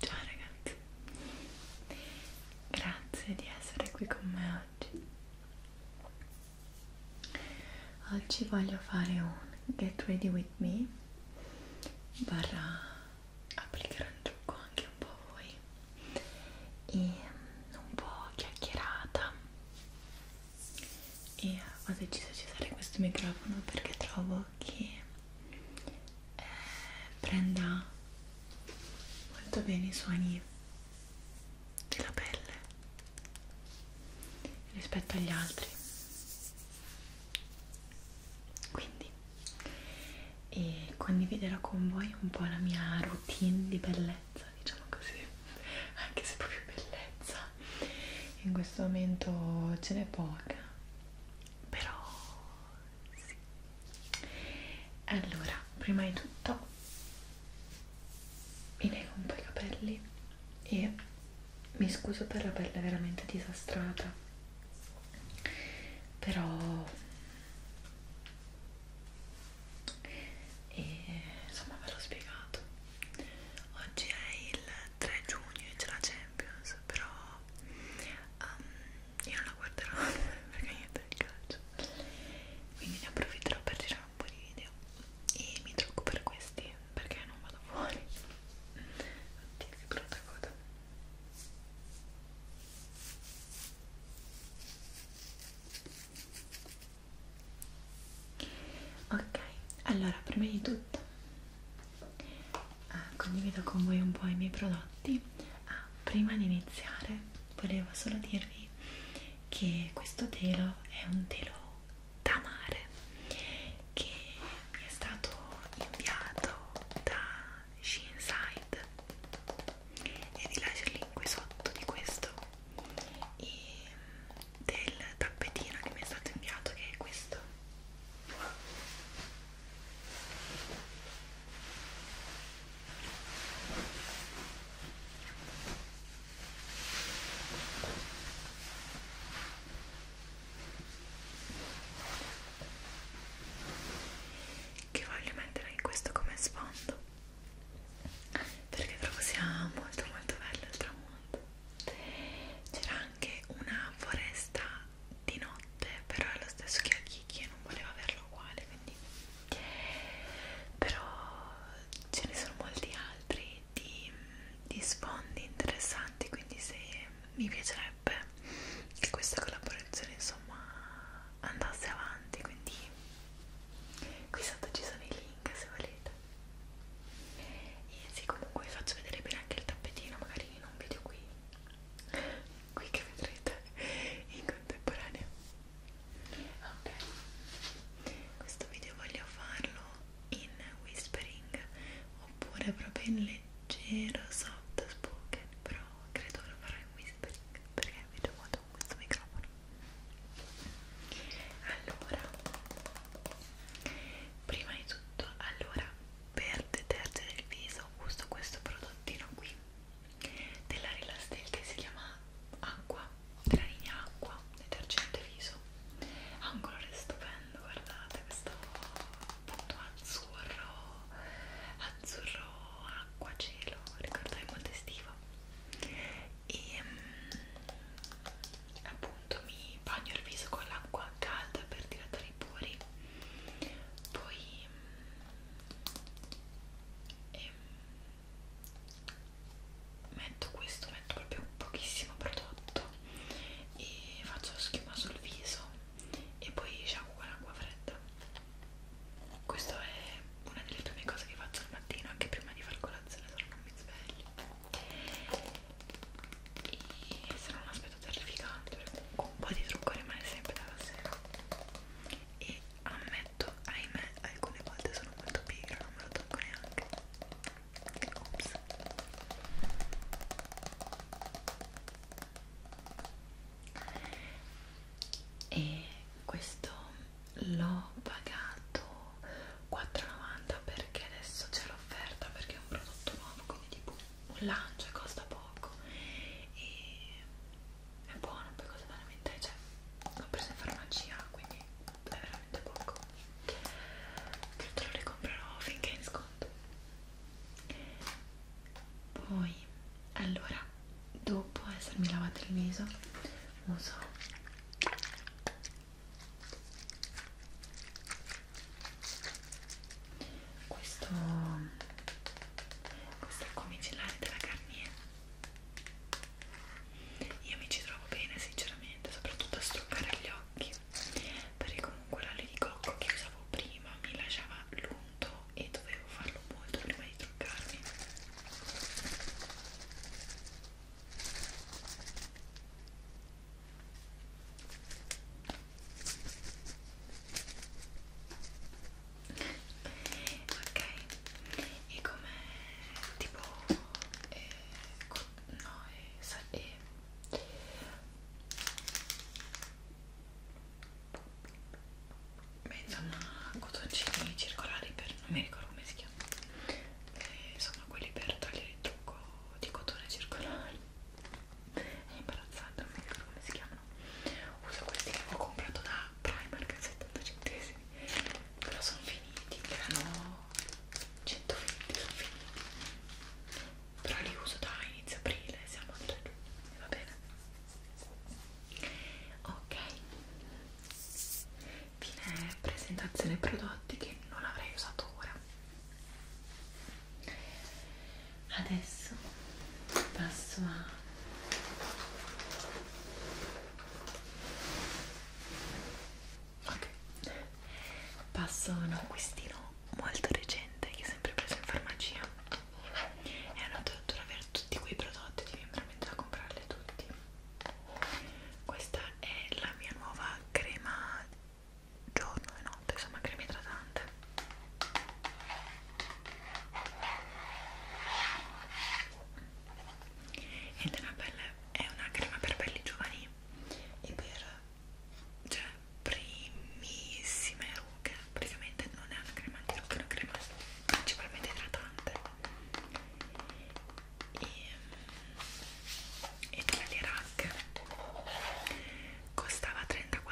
Ciao ragazzi, grazie di essere qui con me oggi. Oggi voglio fare un Get Ready With Me barra applicherò il trucco anche un po' a voi e mm, un po' chiacchierata e ho deciso di usare questo microfono perché trovo che eh, prenda molto bene i suoni della pelle rispetto agli altri quindi e condividerò con voi un po' la mia routine di bellezza diciamo così anche se proprio bellezza in questo momento ce n'è poca però sì allora prima di tutto mi leggo un po' i capelli e mi scuso per la pelle veramente disastrata però e, insomma ve l'ho spiegato oggi è il 3 giugno e c'è la Champions però um, io non la guarderò perché niente del calcio quindi ne approfitterò per girare un po' di video e mi trucco per questi perché non vado fuori oddio che brutta coda Ok, allora prima di tutto eh, condivido con voi un po' i miei prodotti. Ah, prima di iniziare volevo solo dirvi che questo telo è un telo da mare che mi è stato inviato da Shinside e vi lascio il link qui sotto di questo e del tappetino che mi è stato inviato che è questo che voglio mettere in questo come sfondo perché trovo sia molto molto bello il tramonto c'era anche una foresta di notte però è lo stesso che a Kiki e non voleva averlo uguale quindi però ce ne sono molti altri di, di sfondi interessanti quindi se mi piacerebbe piacerebbe che questa collaborazione insomma andasse avanti quindi qui sotto ci sono i link se volete e sì comunque vi faccio vedere bene anche il tappetino magari in un video qui qui che vedrete in contemporanea ok questo video voglio farlo in whispering oppure proprio in leggero soft spoken però credo che lo farò in whispering perché mi piace molto con questo microfono allora prima di tutto allora per detergere il viso uso questo prodottino qui della Relastel che si chiama acqua della linea acqua detergente viso ha un colore stupendo guardate questo appunto azzurro azzurro acqua cielo ricordo è molto estivo e mm, appunto mi bagno il viso con l'acqua calda per dilatare i pori poi mm, e, mm, metto questo metto proprio pochissimo prodotto e faccio schiuma sul viso e poi shampoo diciamo con acqua fredda questa è una delle prime cose che faccio al mattino anche prima di far colazione se non mi sveglio e se non aspetto terrificante perché con un po' di trucco rimane sempre dalla sera e ammetto ahimè alcune volte sono molto pigra non me lo tocco neanche Ops e questo l'ho pagato 4,90 perché adesso c'è l'offerta perché è un prodotto nuovo quindi tipo un lancio e costa poco e è buono poi cosa veramente cioè l'ho preso in farmacia quindi è veramente poco credo lo ricomprerò finché è in sconto poi allora dopo essermi lavato il viso uso questo questo è micellare della Garnier io mi ci trovo bene sinceramente soprattutto a struccare gli occhi perché comunque l'olio di cocco che usavo prima mi lasciava l'unto e dovevo farlo molto prima di truccarmi ok e come tipo eh, no e eh, eh, Beh, insomma, cotoncini circolari per non mi ricordo come si chiama. Eh, sono quelli per togliere il trucco di cotone circolare. È imbarazzante, non mi ricordo come si chiamano. Uso questi che ho comprato da Primark a 70 centesimi. Però sono finiti, erano 120, sono finiti però li uso da inizio aprile, siamo a 3 giugno, va bene? Ok, fine presentazione prodotti che non avrei usato ora. Adesso passo a ok passo a un acquistino molto recente che ho sempre preso in farmacia e hanno dovuto avere tutti quei prodotti devi veramente da comprarli tutti questa è la mia nuova crema giorno e notte insomma crema idratante ed è una, pelle, è una crema per pelli giovani e per cioè primissime rughe praticamente non è una crema di rughe è una crema principalmente idratante e, e tra le rack costava 34,50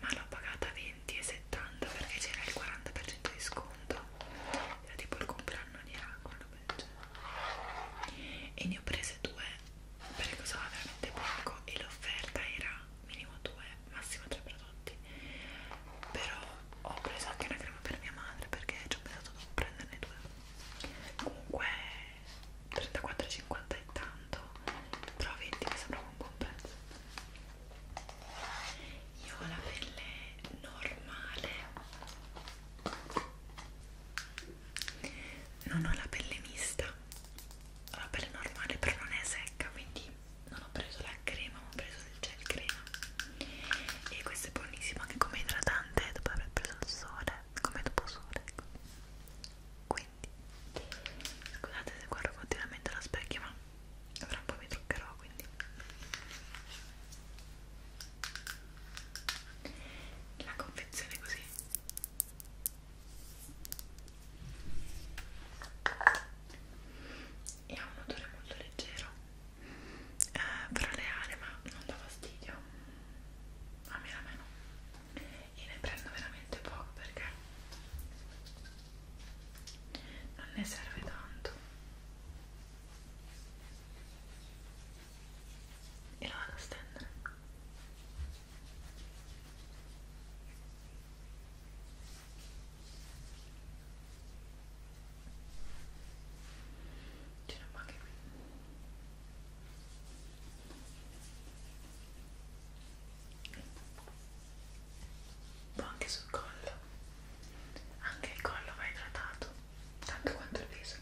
ma l'ho pagata 20,70 perché c'era il 40% di sconto era tipo il compleanno di Rack e ne ho prese due perché usava veramente poco e l'offerta era minimo 2, massimo 3 prodotti però ho preso anche una crema per mia madre perché ci ho pensato di prenderne due comunque 34,50 è tanto però 20 mi sembrava un buon prezzo io ho la pelle normale non ho la pelle mista la pelle normale però non è secca quindi non ho preso la crema ma ho preso il gel crema e questo è buonissimo anche come idratante dopo aver preso il sole come dopo sole ecco. quindi scusate se guardo continuamente allo specchio ma tra un po' mi truccherò quindi la confezione così e ha un odore molto leggero eh, però le aree ma non dà fastidio a me almeno e ne prendo veramente poco perché non ne serve tanto e lo vado a stendere c'è una maga qui. Un po' anche sul collo. Anche il collo va idratato, tanto quanto il viso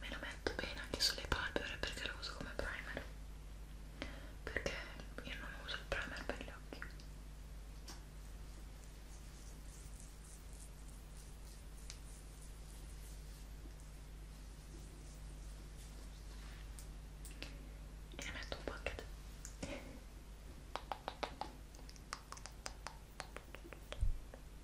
me lo metto bene anche sulle palpebre perché lo uso come primer perché io non uso il primer per gli occhi e ne metto un pocket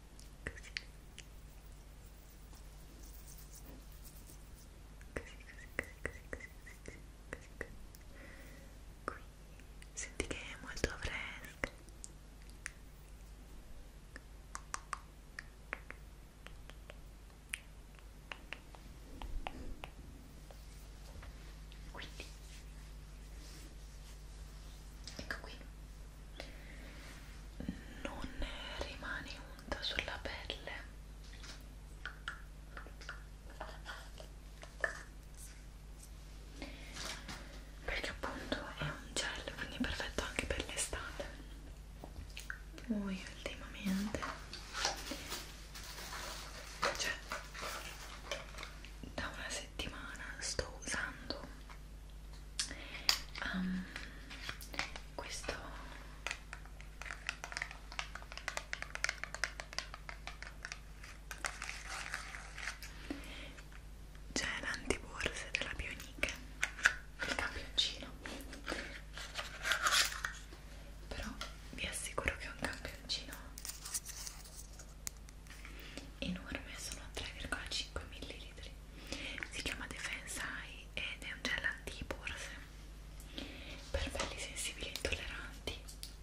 così così così così così così così così qui senti che è molto fresca quindi ecco qui non rimane unta sulla pelle perché appunto è un gel quindi è perfetto anche per l'estate poi ultimamente cioè da una settimana sto usando um, questo c'è l'antiborse della Bionic il campioncino però vi assicuro che è un campioncino enorme, sono 3,5 ml. Si chiama Defense Eye ed è un gel antiporse per pelli sensibili e intolleranti.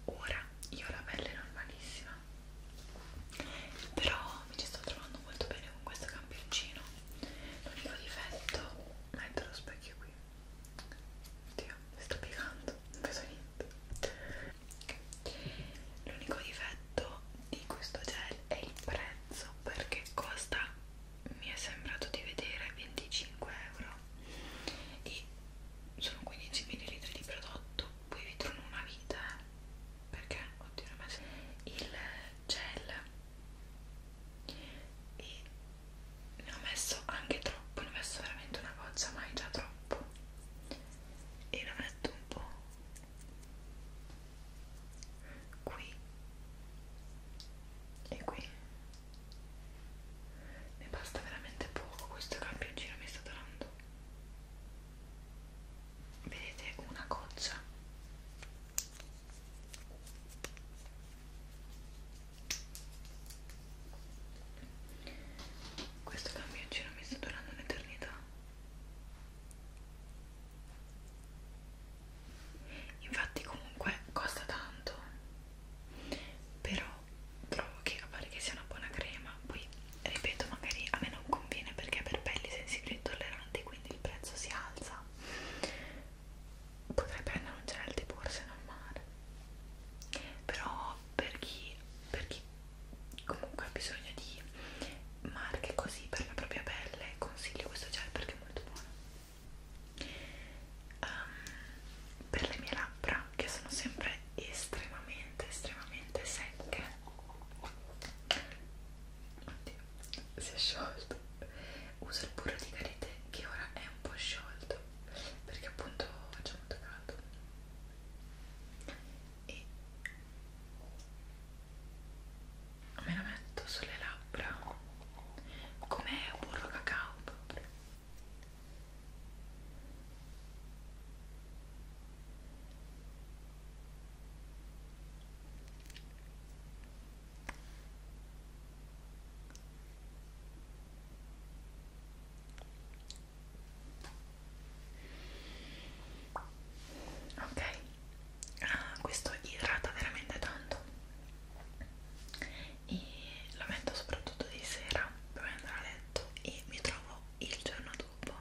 Ora io ho la pelle normalissima, però mi ci sto trovando molto bene con questo campioncino. L'unico difetto, metto lo specchio qui. Oddio, mi sto piegando, non vedo niente. Okay. L'unico difetto di questo gel è il prezzo prezzo perché costa mi è sembrato di vedere 25 euro e sono 15 ml di prodotto poi vi trovo una vita eh. perché oddio ho messo il gel e ne ho messo anche troppo ne ho messo veramente una goccia ma è già troppo e l'ho messo un po' qui e qui ne basta veramente poco questo campioncino mi sta durando vedete una goccia questo campioncino mi sta durando un'eternità infatti comunque costa tanto però trovo che a parte che sia una buona crema poi ripeto magari a me non conviene perché per pelli sensibili e tolleranti quindi il prezzo si alza potrei prendere un gel di borse normale però per chi, per chi comunque ha bisogno di marche così per la propria pelle consiglio questo gel perché è molto buono um, per le mie labbra che sono sempre estremamente estremamente secche oddio si è sciolto uso il burro di karité che ora è un po' sciolto perché appunto faccio molto caldo e me la metto sulle labbra come burro cacao proprio ok ah, questo idrata veramente tanto e lo metto soprattutto di sera prima di andare a letto e mi trovo il giorno dopo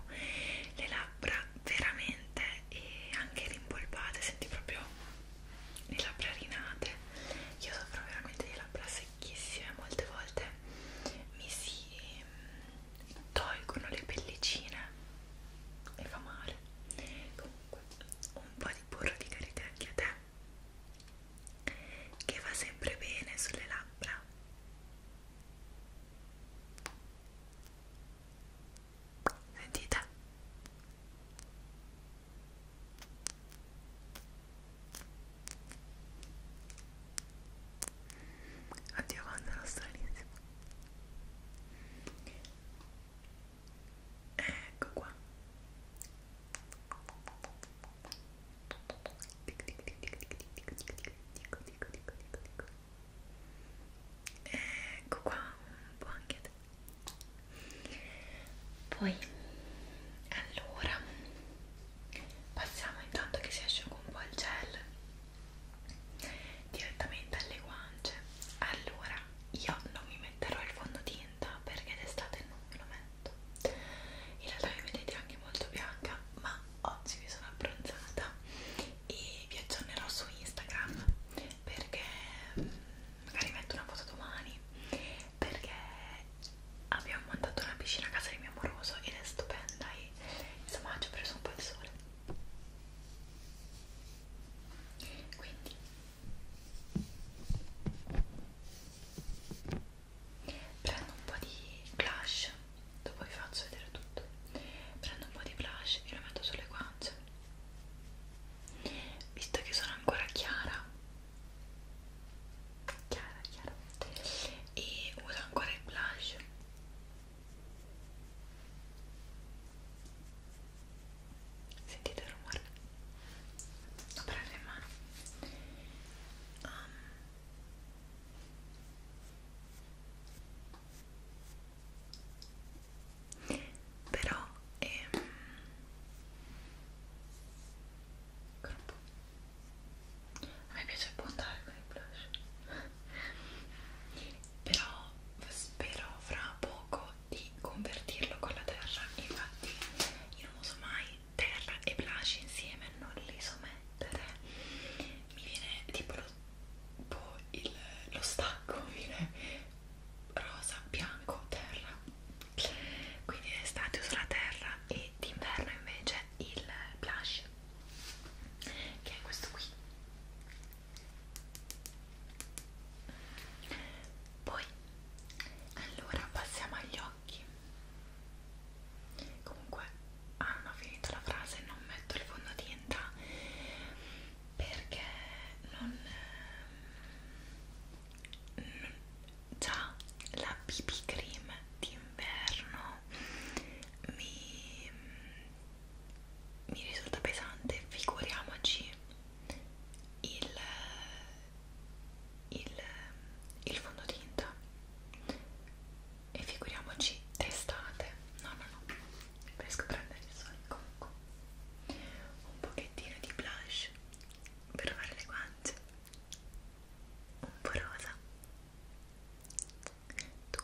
le labbra veramente e anche rimpolpate senti proprio le labbra rinate io soffro veramente di labbra secchissime molte volte mi si mm, tolgono le pellicine e fa male comunque un po' di burro di karité anche a te che va sempre bene sulle labbra sentite oddio quando non stranissimo ecco qua dico dico dico dico dico dico dico dico dico dico ecco qua un po' anche a te poi allora passiamo intanto che si asciuga un po' il gel direttamente alle guance allora io non mi metterò il fondotinta perché d'estate non me lo metto in realtà mi vedete anche molto bianca ma oggi mi sono abbronzata e vi aggiornerò su Instagram perché mm, magari metto una foto domani perché abbiamo montato una piscina a casa di mio amoroso ed è stupenda e insomma ci ho preso un po' il sole quindi prendo un po' di blush dopo vi faccio vedere tutto prendo un po' di blush e lo metto sulle guance visto che sono ancora chiara chiara chiara e uso ancora il blush Sentite il rumore? Lo prendo in mano. Um. Però ehm Corpo. A me piace puntare con i blush però spero fra poco di convertirlo con la terra infatti io non uso mai terra e blush insieme non li so mettere mi viene tipo lo, tipo il, lo stacco mi viene rosa, bianco, terra quindi d'estate uso la terra e d'inverno invece il blush che è questo qui poi allora passiamo agli occhi comunque ah non ho finito la frase non metto il fondotinta perché non ehm, già la BB cream d'inverno mi mi risulta pesante, figuriamoci il, il, il fondotinta e figuriamoci testate, no no no, riesco a prendere il sole comunque un pochettino di blush per fare le guance un po' rosa tu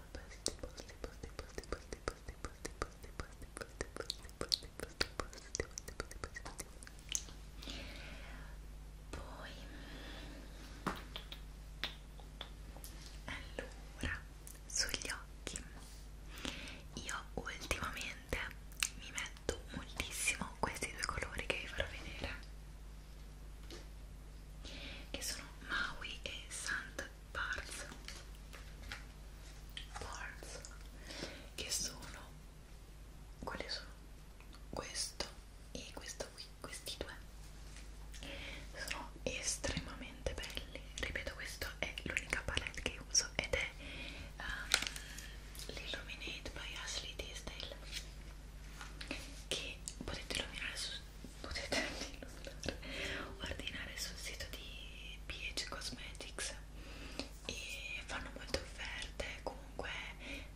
posti posti posti posti posti posti posti posti posti posti posti posti posti posti posti posti posti poi allora sugli occhi io ultimamente mi metto moltissimo questi due colori che vi farò vedere che sono Maui e Santa Barnes Barnes che sono quali sono? questo e questo qui questi due sono estremamente belli ripeto questo è l'unica palette che uso ed è um, l'illuminate by Ashley Tisdale che potete illuminare su potete indovinare, ordinare sul sito di PH Cosmetics e fanno molte offerte comunque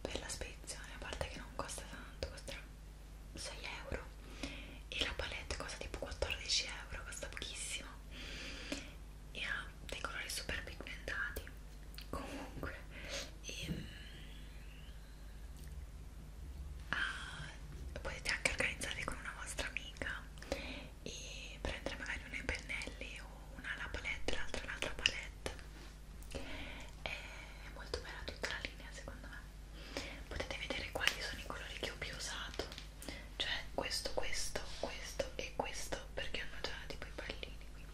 per la spedizione, a parte che non costa tanto, costa 6 euro e la palette costa tipo 14 euro, costa pochissimo e ha dei colori super pigmentati comunque e, mm, uh, potete anche organizzarvi con una vostra amica e prendere magari uno dei pennelli o una la palette, l'altra l'altra palette è molto bella tutta la linea secondo me potete vedere quali sono i colori che ho più usato cioè questo, questo, questo e questo perché hanno già tipo i pallini qui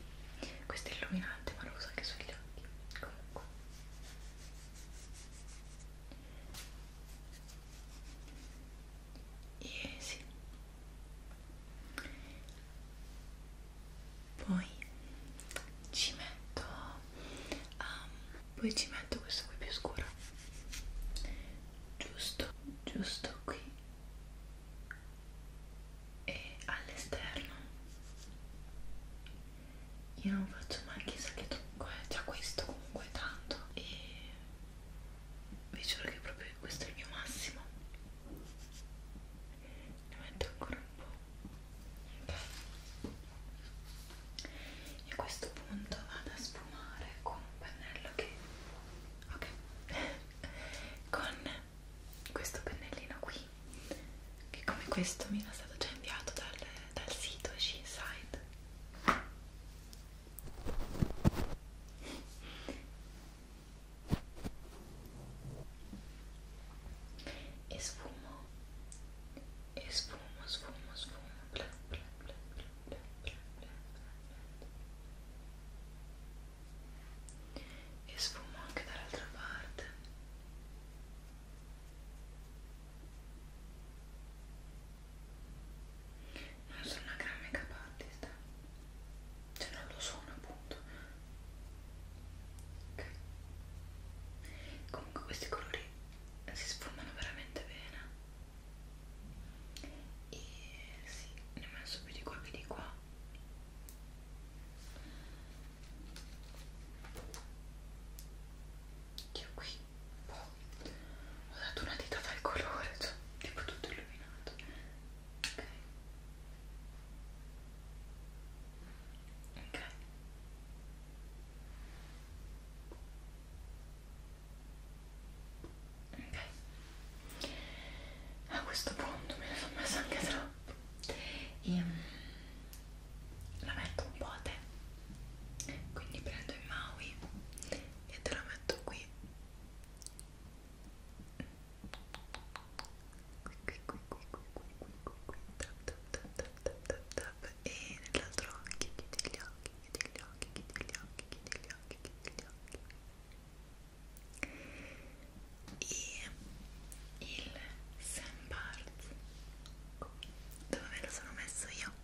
questo è illuminante ma lo uso anche sugli occhi comunque Easy. Poi ci metto um, poi ci metto questo qui più scuro. Giusto, giusto qui e all'esterno io non faccio mai chissà che trucco, eh. già questo comunque è tanto e vi giuro che proprio questo è il mio massimo ne metto ancora un po' ok e a questo punto vado a sfumare con un pennello che ok con questo pennellino qui che come questo mi era stato già inviato dal dal sito She Inside e sfumo e sfumo sfumo sfumo bla, bla, bla, bla, bla, bla, bla, bla. e sfumo anche dall'altra parte non ah, sono una gran make-up artist, cioè non lo sono appunto. Ok. Comunque questi colori si sfumano veramente bene. E sì, ne ho messo più di qua più di qua. Che qui boh, ho dato una dita dal colore, cioè, tipo tutto illuminato. Ok. Ok. Ok. A questo punto me ne sono messa anche troppo. E, ehm, la metto un po' a te quindi prendo il Maui e te la metto qui qui qui qui qui qui qui qui qui tap tap tap tap tap tap tap e nell'altro occhio chiudi gli occhi chiudi gli occhi chiudi gli occhi chiudi gli occhi chiudi gli occhi e il Sam Barnes dove me lo sono messo io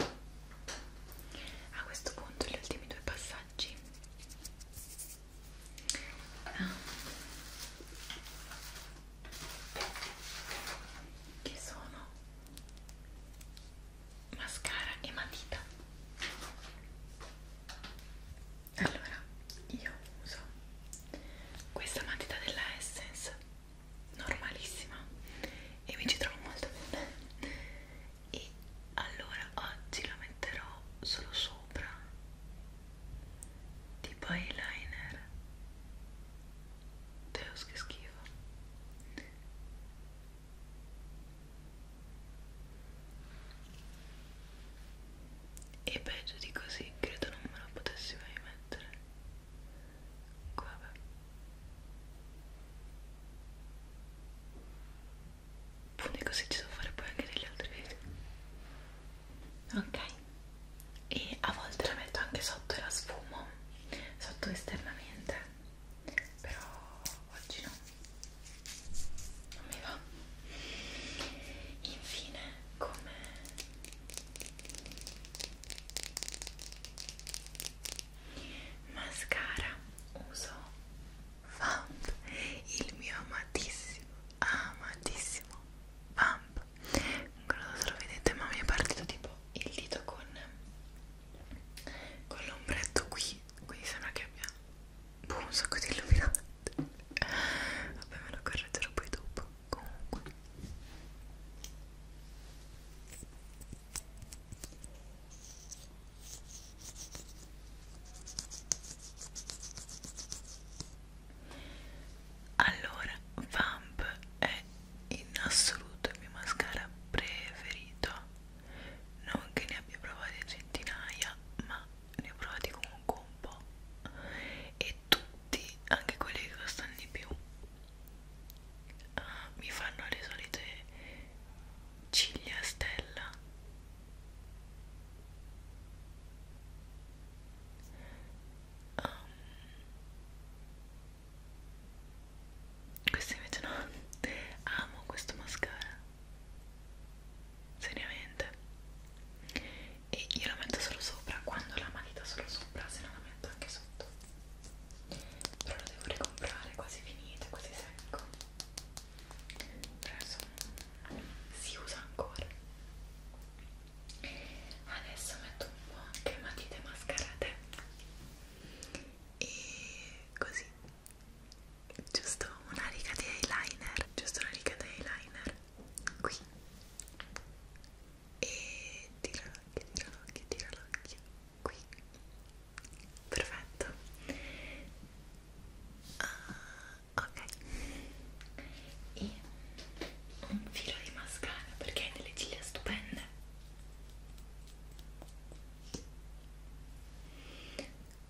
a questo punto gli ultimi due passaggi ah. che sono mascara e matita allora io uso questa matita della Essence normalissima e mi ci trovo molto bene e allora oggi la metterò solo sopra tipo eyeliner Deus che schifo e peggio di così credo non me lo potessi mai mettere głowy. Buone così ci devo fare poi anche negli altri video. Ok. E a volte la metto anche sotto e la sfumo, sotto esternamente, però oggi no, non mi va. Infine, come mascara uso Vamp il mio amatissimo amatissimo Vamp non so se lo vedete ma mi è partito tipo il dito con con l'ombretto qui quindi sembra che abbia boh, un sacco di illuminante vabbè me lo correggerò poi dopo comunque allora Vamp è in assoluto il mio mascara preferito non che ne abbia provati centinaia ma ne ho provati comunque un po' e tutti anche quelli che costano di più ah, mi fanno le solite ciglia stella um, questo invece no amo questo mascara seriamente e io la metto solo sopra quando ho la matita solo sopra se no la metto anche sotto però lo devo ricomprare, quasi finito, quasi secco però insomma si usa ancora adesso metto un po' anche matite mascherate e così giusto una riga di eyeliner giusto una riga di eyeliner qui e tira l'occhio, tira l'occhio, tira l'occhio qui perfetto uh, ok e un filo di mascara perché hai delle ciglia stupende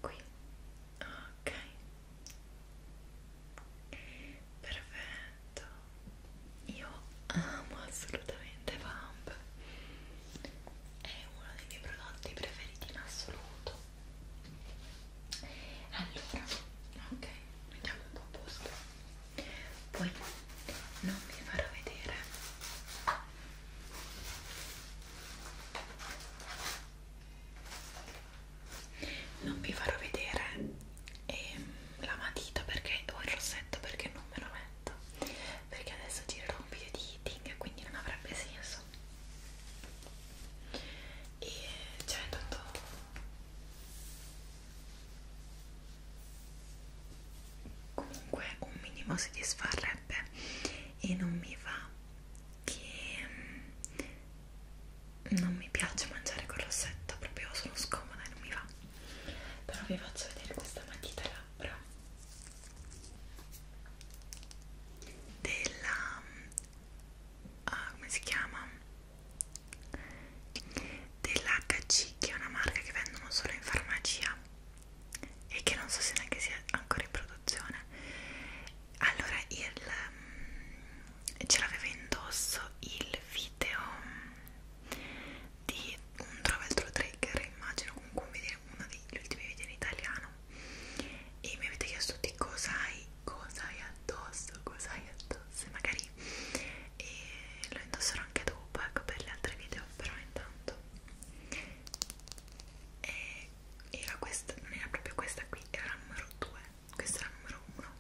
qui ok perfetto io amo assolutamente Vamp è uno dei miei prodotti preferiti in assoluto allora ok mettiamo un po' a posto poi non vi farò vedere non vi farò vedere e la matita perché o il rossetto perché non me lo metto perché adesso girerò un video di eating e quindi non avrebbe senso e cioè tanto comunque un minimo soddisfarebbe e non mi va che mm, non mi piace mangiare col rossetto proprio sono scomoda e non mi va però vi faccio vedere questa matita labbra della ah, come si chiama dell'HC che è una marca che vendono solo in farmacia e che non so se neanche sia ancora in produzione allora il mm, ce l'aveva indosso il video mm, di un Traveltro Trigger, immagino comunque un video, uno degli ultimi video in italiano e mi avete chiesto di cosa hai, cosa hai addosso, cosa hai addosso magari e lo indosserò anche dopo ecco per le altre video però intanto e era questa, non era proprio questa qui, era la numero 2 questa è la numero 1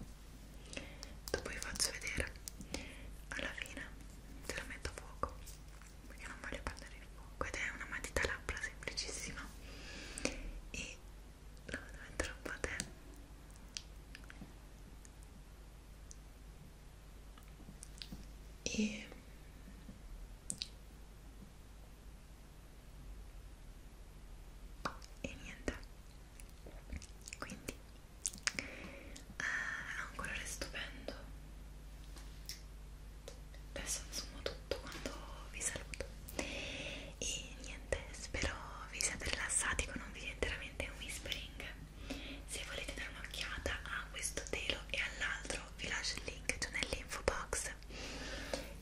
dopo vi faccio vedere alla fine te la metto a fuoco perché non voglio perdere il fuoco ed è una matita labbra semplicissima e la vado a mettere un po' a te e e niente quindi ha ah, un colore stupendo adesso assumo tutto quando vi saluto e niente spero vi siate rilassati con un video interamente whispering se volete dare un'occhiata a questo telo e all'altro vi lascio il link giù nell'info box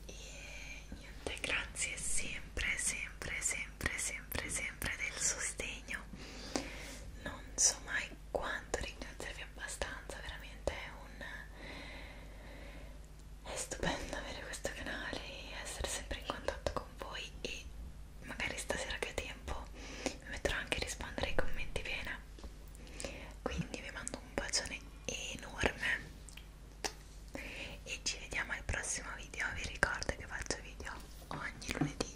e niente grazie sempre sempre sempre sempre, sempre, sempre del sostegno. Non so mai quanto ringraziarvi abbastanza, veramente è un... È stupendo avere questo canale e essere sempre in contatto con voi e magari stasera che ho tempo mi metterò anche a rispondere ai commenti bene. Quindi vi mando un bacione enorme e ci vediamo al prossimo video. Vi ricordo che faccio video ogni lunedì